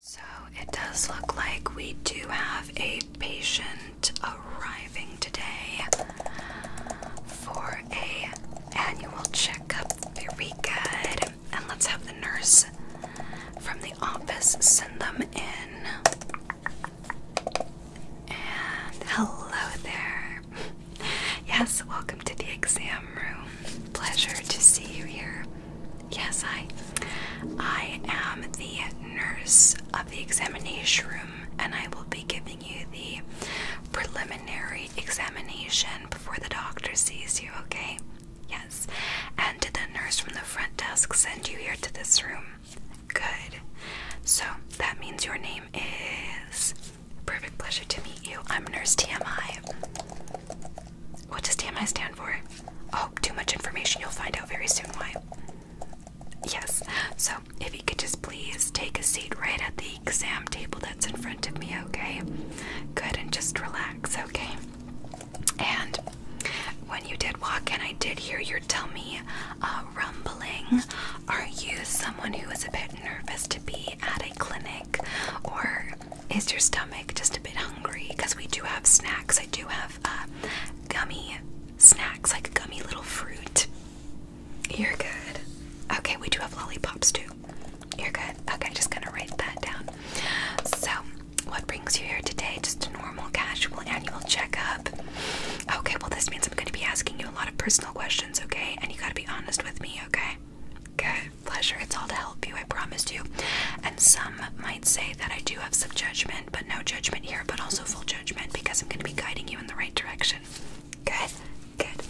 So it does look like we do have a patient arriving today for a annual checkup. Very good. And let's have the nurse from the office send them in. And hello there. Yes, welcome to the exam room. Pleasure to see you here. Yes, I. I am the nurse of the examination room, and I will be giving you the preliminary examination before the doctor sees you, okay? Yes. And did the nurse from the front desk send you here to this room? Good. So that means your name is. Perfect pleasure to meet you. I'm Nurse TMI. What does TMI stand for? Oh, too much information. You'll find out very soon why. Yes, so if you could just please take a seat right at the exam table that's in front of me, okay? Good, and just relax, okay? And when you did walk in, I did hear your tummy uh, rumbling. Are you someone who is a bit nervous to be at a clinic or is your stomach just a bit hungry? Because we do have snacks. I do have uh, gummy snacks, like gummy little fruit. You're good. Okay, we do have lollipops too. You're good. Okay, just gonna write that down. So, what brings you here today? Just a normal, casual annual checkup. Okay, well, this means I'm gonna be asking you a lot of personal questions, okay? And you gotta be honest with me, okay? Good. Pleasure. It's all to help you, I promised you. And some might say that I do have some judgment, but no judgment here, but also full judgment because I'm going to be guiding you in the right direction. Good, good.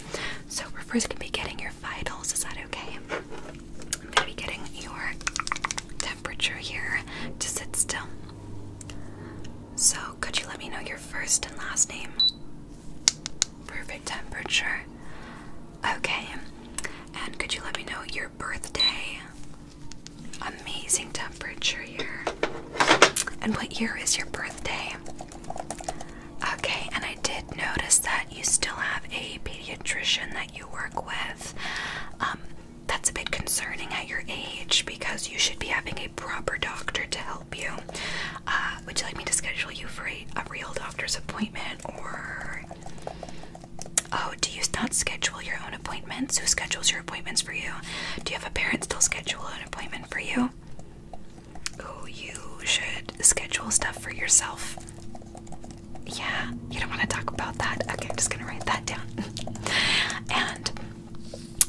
So we're first going to be getting your vitals. Is that okay? I'm going to be getting your temperature here to sit still. So could you let me know your first and last name? Perfect temperature. Okay. And could you let me know your birthday? Amazing temperature here. And what year is your birthday? Okay, and I did notice that you still have a pediatrician that you work with. Um, that's a bit concerning at your age because you should be having a proper doctor to help you. Uh, would you like me to schedule you for a, a real doctor's appointment or Oh, do you not schedule your own appointments? Who schedules your appointments for you? Do you have a parent still schedule an appointment for you? Oh, you should schedule stuff for yourself. Yeah, you don't want to talk about that. Okay, I'm just gonna write that down. and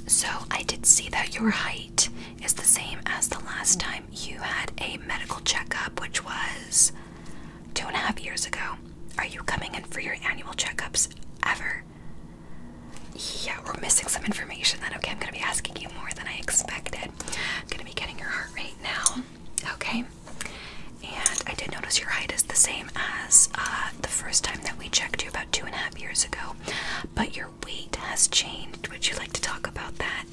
so I did see that your height is the same as the last time you had a medical checkup, which was Two and a half years ago. Are you coming in for your annual checkups ever? Yeah, we're missing some information then. Okay, I'm gonna be asking you more than I expected. I'm gonna be getting your heart rate now. Okay. And I did notice your height is the same as uh, the first time that we checked you about two and a half years ago, but your weight has changed. Would you like to talk about that?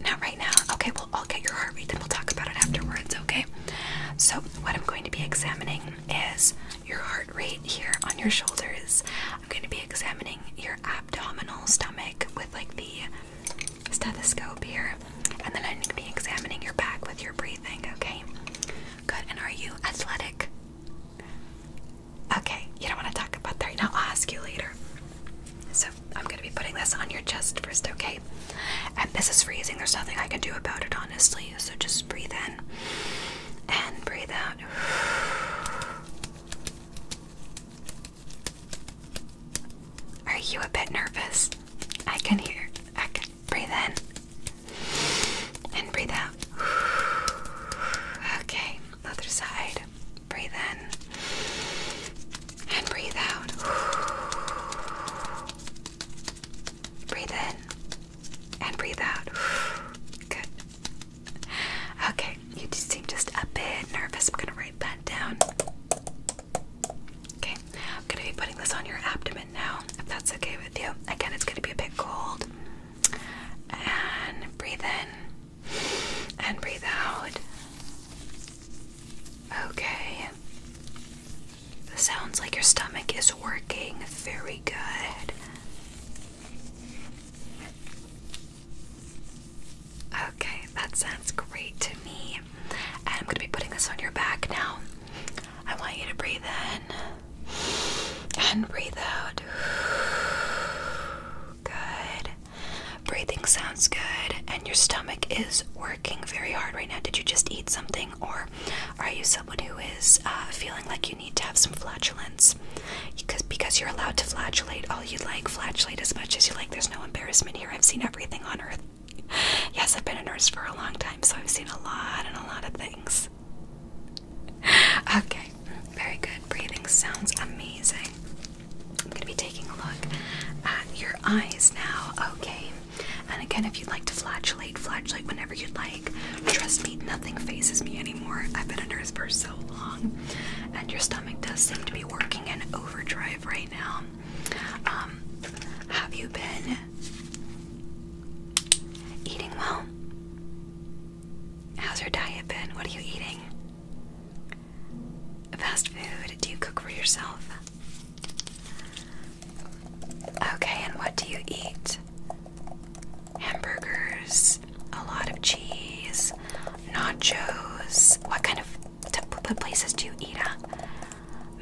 Not right now. Okay, I'll get your heart rate, then we'll talk about it afterwards, okay? So, what I'm going to be examining is your heart rate here on your shoulders. I'm going to be examining your abdominal stomach with like the stethoscope here, and then I'm going to be examining your back with your breathing, okay? Good, and are you athletic? Okay, you don't want to talk about that right now. I'll ask you later. So, I'm going to be putting this on your chest first, okay? And this is freezing. There's nothing I can do about it, honestly. So just breathe in and breathe out. Are you a bit nervous? I can hear. I can breathe in and breathe out. Okay, other side. Breathe in and breathe out. Breathe in and breathe out. Good. Okay, you seem just a bit nervous. I'm gonna write that down. Okay, I'm gonna be putting this on your abdomen now, if that's okay with you. Again, it's gonna be a bit cold. And breathe in and breathe out. Okay. Sounds like your stomach is working very good. Okay, that sounds great to me. I'm going to be putting this on your back now. I want you to breathe in and breathe out. Good. Breathing sounds good, and your stomach is working working very hard right now? Did you just eat something, or are you someone who is uh, feeling like you need to have some flatulence? Because because you're allowed to flatulate all you like, flatulate as much as you like. There's no embarrassment here. I've seen everything on earth. Yes, I've been a nurse for a long time, so I've seen a lot and a lot of things. Okay, very good. Breathing sounds amazing. I'm gonna be taking a look at your eyes now. Okay, and again, if you'd like to flatulate, flatulate whenever you'd like. Trust me, nothing phases me anymore. I've been a nurse for so long, and your stomach does seem to be working in overdrive right now. Um, have you been eating well? How's your diet been? What are you eating? Fast food? Do you cook for yourself? Okay, and what do you eat? Hamburgers, a lot of cheese, nachos. What kind of places do you eat at?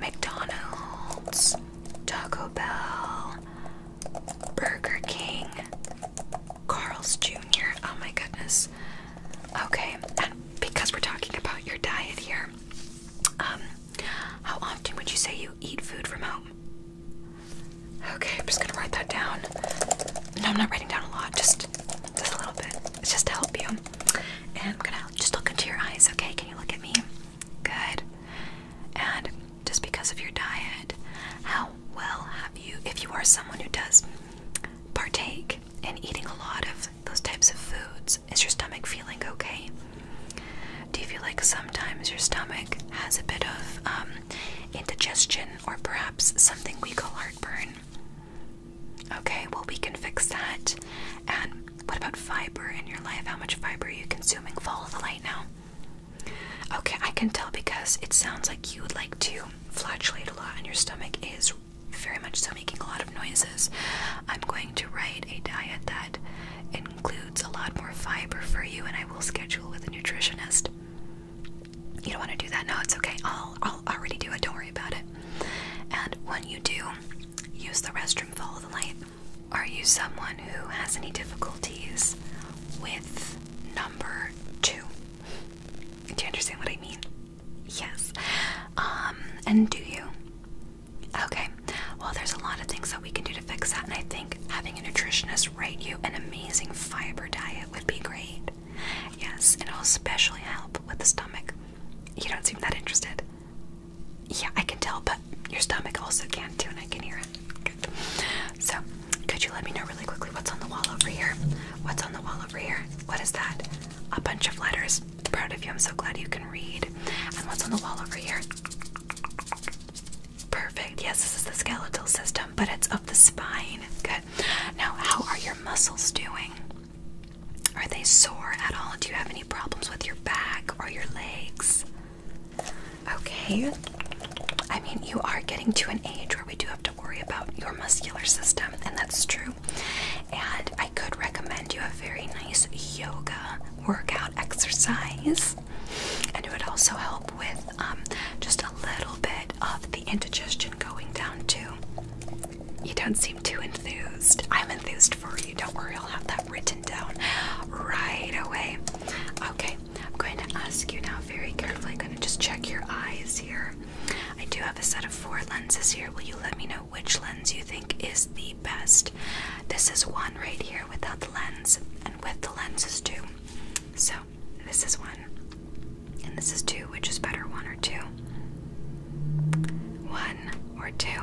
McDonald's, Taco Bell, Burger King, Carl's Jr. Oh my goodness. Okay, and because we're talking about your diet here, um, how often would you say you eat food from home? Okay, I'm just gonna write that down. No, I'm not writing down a lot, just just a little bit. It's just to help you. And I'm gonna just look into your eyes, okay? Can you look at me? Good. And just because of your diet, how well have you, if you are someone who does partake in eating a lot of those types of foods. Is your stomach feeling okay? Do you feel like sometimes your stomach has a bit of um, indigestion or perhaps something we call heartburn? Okay, well, we can fix that. And what about fiber in your life? How much fiber are you consuming? Follow the light now. Okay, I can tell because it sounds like you would like to flatulate a lot, and your stomach is very much so making a lot of noises. I'm going to write a diet that includes a lot more fiber for you, and I will schedule with a nutritionist. You don't want to do that? No, it's okay. I'll, I'll already do it. Don't worry about it. And when you do, use the restroom, follow the light. Are you someone who has any difficulties with number two? Do you understand what I mean? Yes. Um, and do you? Okay, well, there's a lot of things that we can do to fix that, and I think having a nutritionist write you an amazing fiber diet would be great. Yes, it'll especially help with the stomach. You don't seem that interested. Yeah, I can tell, but your stomach also can too, and I can hear it. Good. So, could you let me know really quickly what's on the wall over here? What's on the wall over here? What is that? A bunch of letters proud of you. I'm so glad you can read. And what's on the wall over here? Perfect. Yes, this is the skeletal system, but it's up the spine. Good. Now, how are your muscles doing? Are they sore at all? Do you have any problems with your back or your legs? Okay. I mean, you are getting to an age where we do have to worry about your muscular system, and that's true. And I could recommend you a very nice yoga workout exercise, and it would also help with um, just a little bit of the indigestion going down too. You don't seem too enthused. I'm enthused for you. Don't worry, I'll have that written down right away. Okay, I'm going to ask you now very carefully. I'm going to just check your eyes here. I do have a set of four lenses here. Will you let me know which lens you think is the best. This is one right here without the lens, and with the lens is two. So this is one, and this is two. Which is better, one or two? One or two?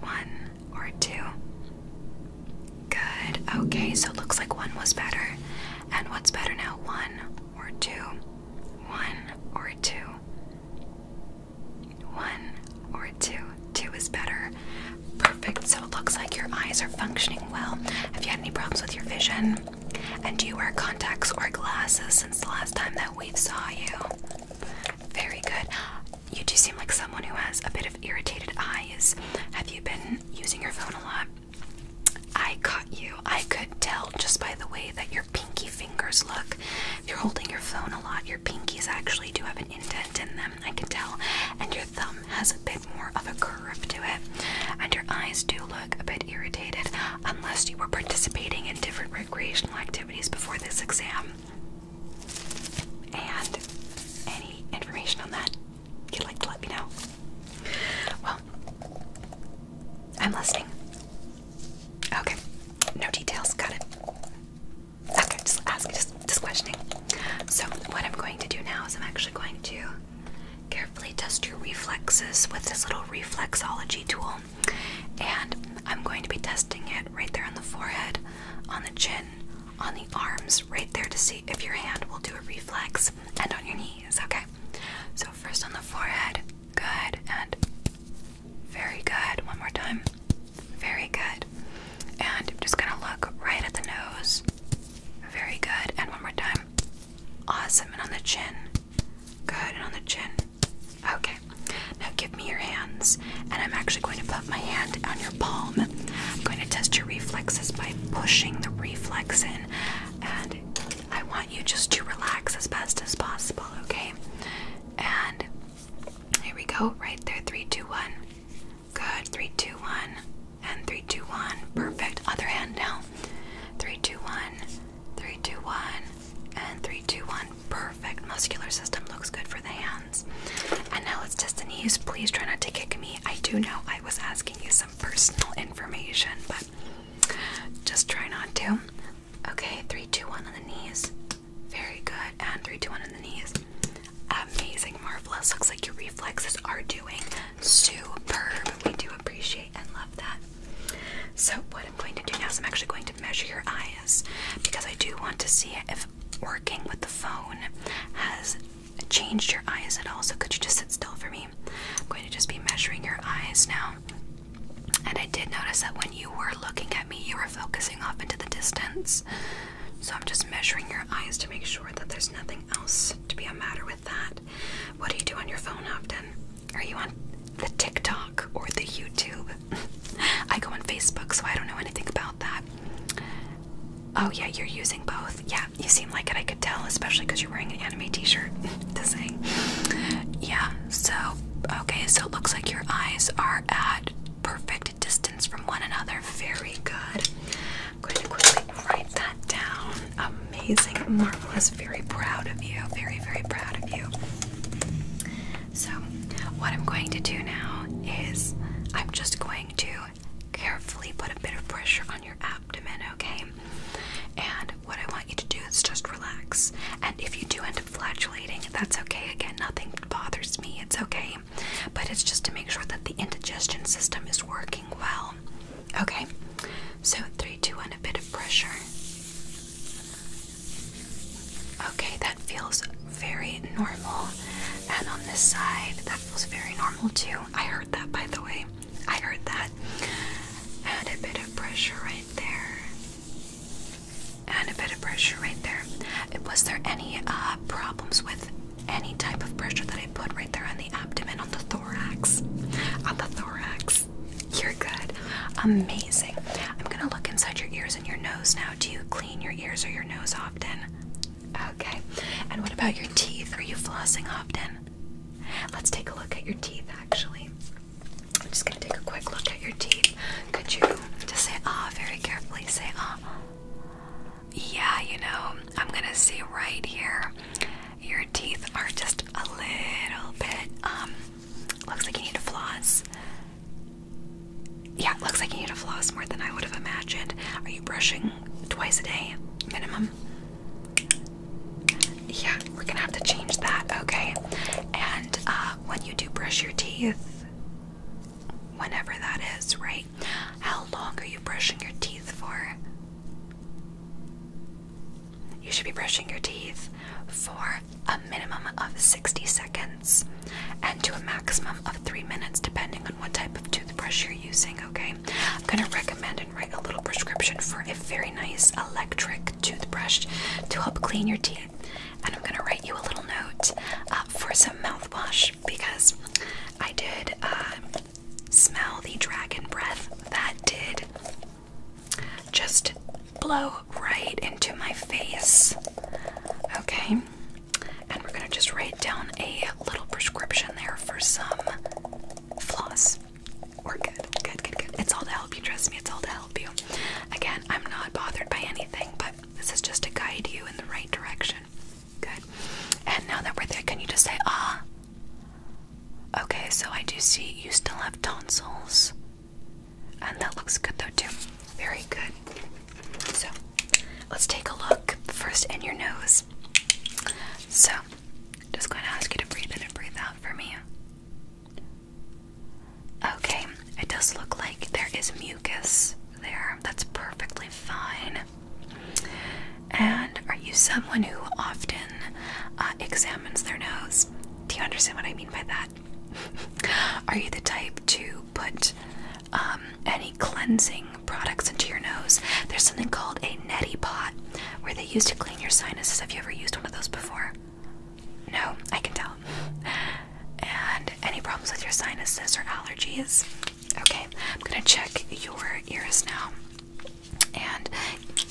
One or two? Good. Okay, so it looks like one was better. And what's better now? One or two? One or two? One or two. Two is better. Perfect. So it looks like your eyes are functioning well. Have you had any problems with your vision? And do you wear contacts or glasses since the last time that we saw you? Very good. You do seem like someone who has a bit of irritated eyes. Have you been using your phone a lot? I caught you. I could tell just by the way that your pinky fingers look. If you're holding your phone a lot, your pinkies actually do have an indent in them, I can tell, and your thumb has a bit more of a curve to it, and your eyes do look a bit irritated unless you were participating in different recreational activities before this exam. And any information on that you'd like to let me know? Well, I'm listening. Okay, no details, got it. Okay, just asking, just, questioning. So, what I'm going to do now is I'm actually going to carefully test your reflexes with this little reflexology tool, and I'm going to be testing it right there on the forehead, on the chin, on the arms, right there to see if your hand will do a reflex, and on your knees. Okay. So first on the forehead, good, and very good. One more time. Very good. And I'm just gonna look right at the nose. Very good. And one more time. Awesome. And on the chin. Good. And on the chin. Okay. Now give me your hands. And I'm actually going to put my hand on your palm. I'm going to test your reflexes by pushing the reflex in. And I want you just to relax as best as possible, okay? And here we go, right there. Three, two, one. Good. Three, two, one. And three, two, one. Perfect. Other hand now. Three, two, one. Three, two, one. And three, two, one. Perfect. Muscular system looks good for the hands. And now let's test the knees. Please try not to kick me. I do know I was asking you some personal information, but just try not to. Okay, three, two, one on the knees. Very good. And three, two, one on the knees. Amazing, marvelous. Looks like your reflexes are doing superb. We do appreciate and love that. So, what I'm going to do now is I'm actually going to measure your eyes because I do want to see if working with the phone has changed your eyes at all. So, could you just sit still for me? I'm going to just be measuring your eyes now. And I did notice that when you were looking at me, you were focusing off into the distance. So I'm just measuring your eyes to make sure that there's nothing else to be a matter with that. What do you do on your phone often? Are you on the TikTok or the YouTube? I go on Facebook, so I don't know anything about that. Oh, yeah, you're using both. Yeah, you seem like it, I could tell, especially because you're wearing an anime t shirt to say. Yeah, so, okay, so it looks like your eyes are at perfect distance from one another. Very good. I'm going to quickly write that down. Amazing, marvelous. Very proud of you. Very, very proud of you. So, what I'm going to do now is I'm just going to carefully put a bit of pressure on your abdomen, okay? And what I want you to do is just relax. And if you do end up flatulating, that's okay. Again, nothing bothers me. It's okay but it's just to make sure that the indigestion system is working well. Okay, so three, two, three, two, one, a bit of pressure. Okay, that feels very normal. And on this side, that feels very normal too. I heard that by the way. I heard that. And a bit of pressure right there. And a bit of pressure right there. Was there any uh, problems with any type of pressure that I put right there on the abdomen, on the thorax? On the thorax. You're good. Amazing. I'm gonna look inside your ears and your nose now. Do you clean your ears or your nose often? Okay. And what about your teeth? Are you flossing often? Let's take a look at your teeth actually. I'm just gonna take a quick look at your teeth. Could you just say ah very carefully? Say ah yeah, you know, I'm gonna see right here. Your teeth are just a little bit, um, looks like you need to floss. Yeah, looks like you need to floss more than I would have imagined. Are you brushing twice a day minimum? Yeah, we're gonna have to change that, okay? And uh, when you do brush your teeth, whenever that is, right? How long are you brushing your teeth for? You should be brushing your teeth for a minimum of 60 seconds and to a maximum of 3 minutes, depending on what type of toothbrush you're using, okay? I'm gonna recommend and write a little prescription for a very nice electric toothbrush to help clean your teeth. And I'm gonna write you a little note uh, for some mouthwash because I did uh, smell the dragon breath that did just blow right into my face. Okay, and we're gonna just write down a little prescription there for some floss. We're good, good, good, good. It's all to help you, trust me, it's all to help you. Again, I'm not bothered by anything, but this is just to guide you in the right direction. Good. And now that we're there, can you just say, ah? Okay, so I do see you still have tonsils. And that looks good though, too. Very good. So, let's take a look first in your nose. So, just going to ask you to breathe in and breathe out for me. Okay, it does look like there is mucus there. That's perfectly fine. And are you someone who often uh, examines their nose? Do you understand what I mean by that? are you the type to put um, any cleansing products into your nose? There's something called a neti pot where they use to clean your sinuses. Have you ever used one of those before? No, I can tell. And any problems with your sinuses or allergies? Okay, I'm gonna check your ears now. And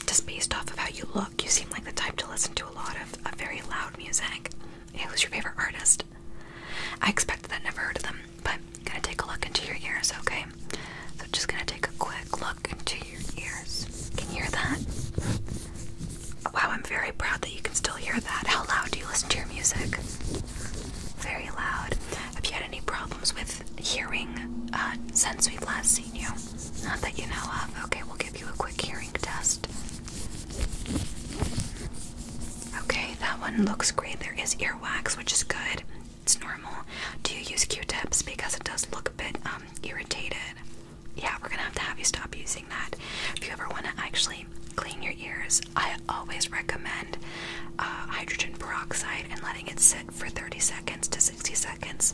just based off of how you look, you seem like the type to listen to a lot of, very loud music. who's your favorite artist? I expected that, never heard of them, but gonna take a look into your ears, okay? So just gonna take a quick look into your ears. Can you hear that? Wow, I'm very proud that you can still hear that. How loud do you listen to your music? very loud. Have you had any problems with hearing uh, since we've last seen you? Not that you know of. Okay, we'll give you a quick hearing test. Okay, that one looks great. There is earwax, which is good. It's normal. Do you use Q-tips? Because it does look a bit um, irritated. Yeah, we're gonna have to have you stop using that. If you ever want to actually clean your ears, I always recommend uh, hydrogen peroxide and letting it sit for 30 seconds to 60 seconds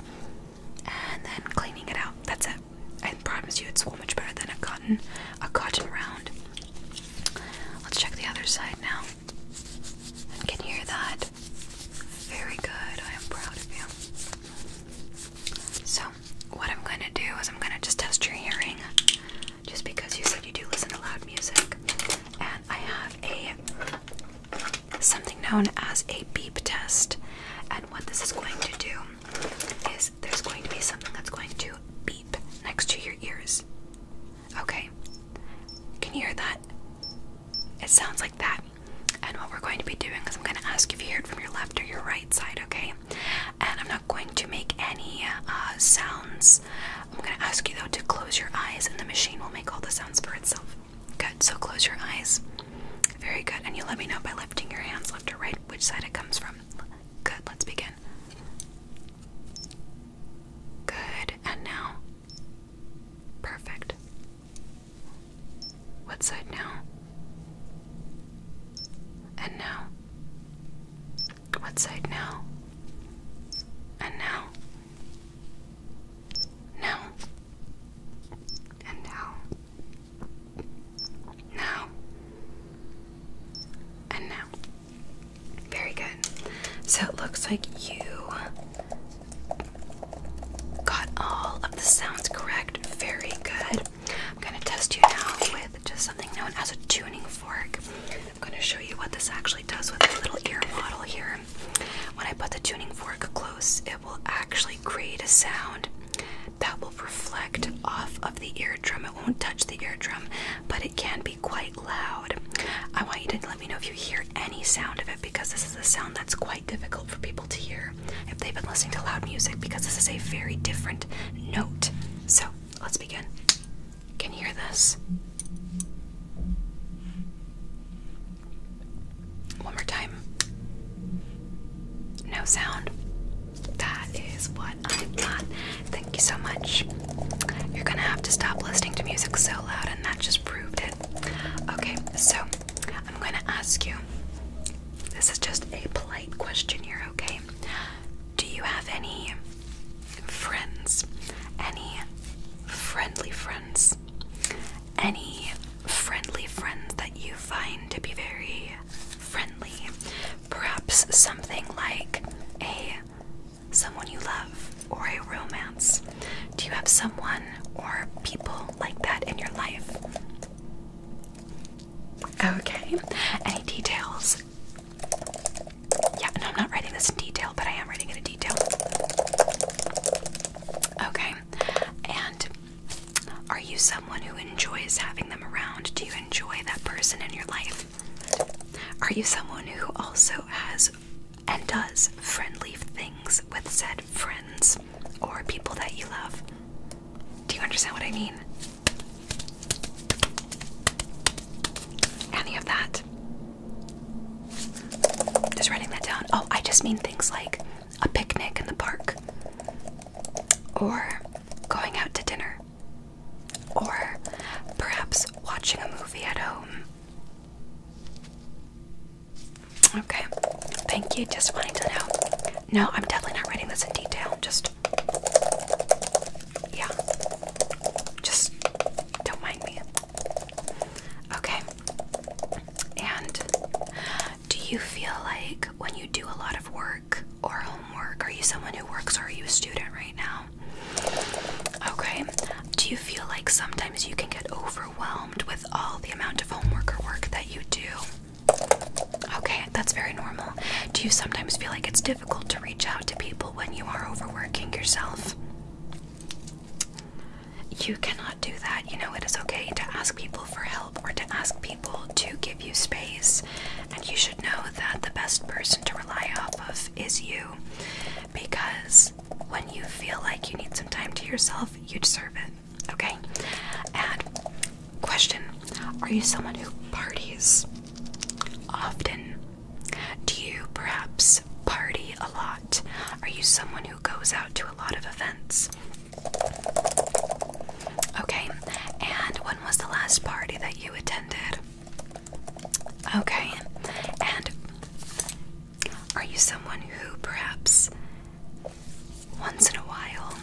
and then cleaning it out. That's it. I promise you it's so much better than a cotton a cotton round. Let's check the other side now. I can hear that. Very good. I am proud of you. So, what I'm going to do is I'm going to just test your hearing just because you said you do listen to loud music. And I have a something known as a beep test. And what this is going to do is there's going to be something that's going to beep next to your ears. Okay? Can you hear that? It sounds like that. And what we're going to be doing is I'm going to ask if you hear it from your left or your right side, okay? And I'm not going to make any uh, sounds. I'm going to ask you though to close your eyes, and the machine will make all the sounds for itself. Good, so close your eyes. Very good, and you let me know by lifting your hands left or right which side it comes from. Good, let's begin. Good, and now. Perfect. What side now? And now. What side now? And now? Now? And now? Now? And now? Very good. So it looks like you got all of the sounds correct. Very good. I'm going to test you now with with just something known as a tuning fork. I'm going to show you what this actually does with a little ear model here. When I put the tuning fork close, it will actually create a sound that will reflect off of the eardrum. It won't touch the eardrum, but it can be quite loud. I want you to let me know if you hear any sound of it because this is a sound that's quite difficult for people to hear if they've been listening to loud music because this is a very different note. So let's begin can hear this. One more time. No sound. That is what I got. Thank you so much. You're gonna have to stop listening to music so loud, and that just proved it. Okay, so I'm gonna ask you this is just a polite question here, okay? Do you have any friends, any friendly friends, any friendly friends that you find to be very friendly. Perhaps something like a someone you love or a romance. Do you have someone or people like that in your life? Okay. Any details yeah, and I'm not writing this in detail, but I am writing it in detail. Okay, and are you someone who enjoys having them around? Do you enjoy that person in your life? Are you someone who also has and does friendly things with said friends or people that you love? Do you understand what I mean? any of that. Just writing that down. Oh, I just mean things like a picnic in the park, or going out to dinner, or perhaps watching a movie at home. Okay, thank you. Just wanting to know. No, I'm definitely not writing this in detail. Just yeah, just don't mind me. Okay. And do you feel like when you do a lot of work or homework, are you someone who works or are you a student right now? Okay. Do you feel like sometimes you can get overwhelmed with all the amount of homework or work that you do? Okay, that's very normal. Do you sometimes feel like it's difficult to reach out to people when you are overworking yourself. You cannot do that. You know, it is okay to ask people for help or to ask people to give you space. And you should know that the best person to rely off of is you. Because when you feel like you need some time to yourself, you deserve it. Okay? And question Are you someone who parties often? Do you perhaps party a lot? Are you someone who goes out to a lot of events? Okay, and when was the last party that you attended? Okay, and are you someone who perhaps once in a while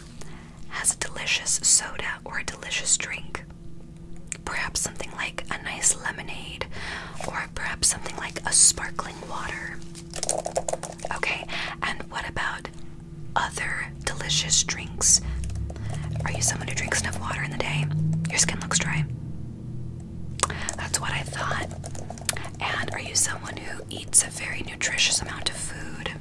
has a delicious soda or a delicious drink? perhaps something like a nice lemonade or perhaps something like a sparkling water. Okay, and what about other delicious drinks? Are you someone who drinks enough water in the day? Your skin looks dry. That's what I thought. And are you someone who eats a very nutritious amount of food?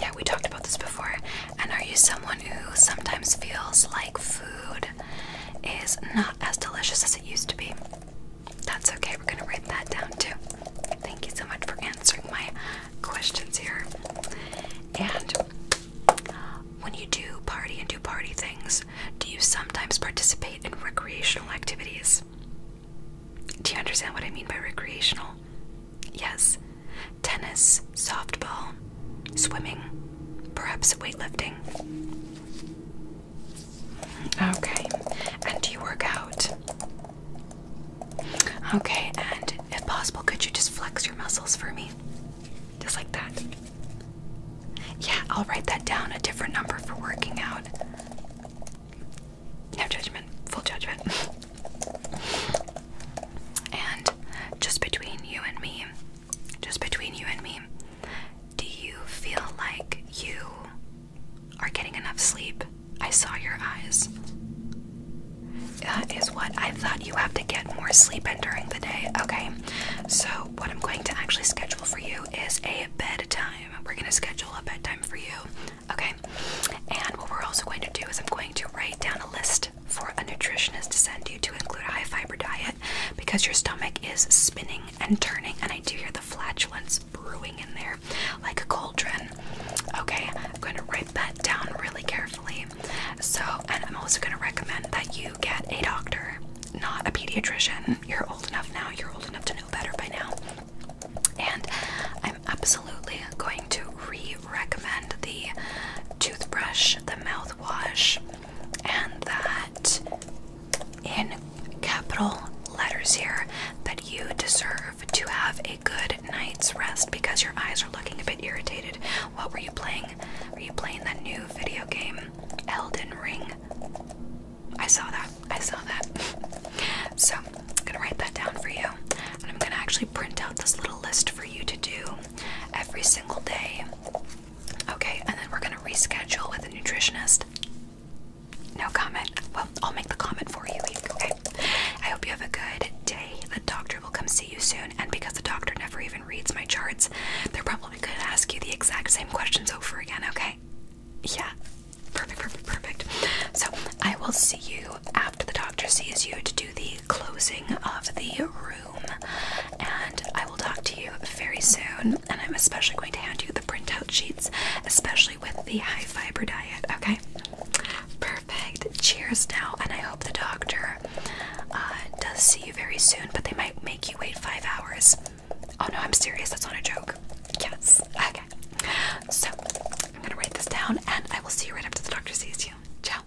Yeah, we talked about this before. And are you someone who sometimes feels like food is not as delicious as it used to be? That's okay, we're gonna write that down too. Thank you so much for answering my questions here. And when you do party and do party things, do you sometimes participate in recreational activities? Do you understand what I mean by recreational? Yes, tennis, softball, swimming, perhaps weightlifting. Okay, and do you work out? Okay, and if possible, could you just flex your muscles for me? Just like that. Yeah, I'll write that down, a different number for working out. No judgment, full judgment. And just between you and me, just between you and me, do you feel like you are getting enough sleep? I saw your eyes. That is what I thought you have to get more sleep in during the day. Okay, so what I'm going to actually schedule for you is a bedtime. We're going to schedule a bedtime for you. Okay, and what we're also going to do is I'm going to write down a list for a nutritionist to send you to include a high fiber diet because your stomach is spinning and turning, and I do hear the flatulence brewing in there like a cauldron. Okay, I'm going to write that down really carefully. So, and I'm also going to recommend that you get a doctor, not a pediatrician. You're old enough now, you're old enough to know better by now. And I'm absolutely going to re recommend the toothbrush, the mouthwash, and that in capital letters here that you deserve to have a good night's rest because your eyes are looking a bit irritated. What were you playing? Were you playing that new video game, Elden Ring? I saw that. I saw that. so I'm gonna write that down for you. And I'm gonna actually print out this little list for you to do every single day. Okay, and then we're gonna reschedule with a nutritionist. No comment. Well, I'll make the comment for you, okay? I hope you have a good day. The doctor will come see you soon, and because the doctor never even reads my charts, they're probably gonna ask you the exact same questions over again, okay? Yeah. Perfect, perfect, perfect. So I will see you after the doctor sees you to do the closing of the room. And I will talk to you very soon. And I'm especially going to hand you the printout sheets, especially with the high fiber diet. Okay? Perfect. Cheers now. And I hope the doctor uh, does see you very soon, but they might make you wait five hours. Oh no, I'm serious. That's not a joke. Yes. Okay. So I'm going to write this down and I will see you right after the doctor sees you. Ciao.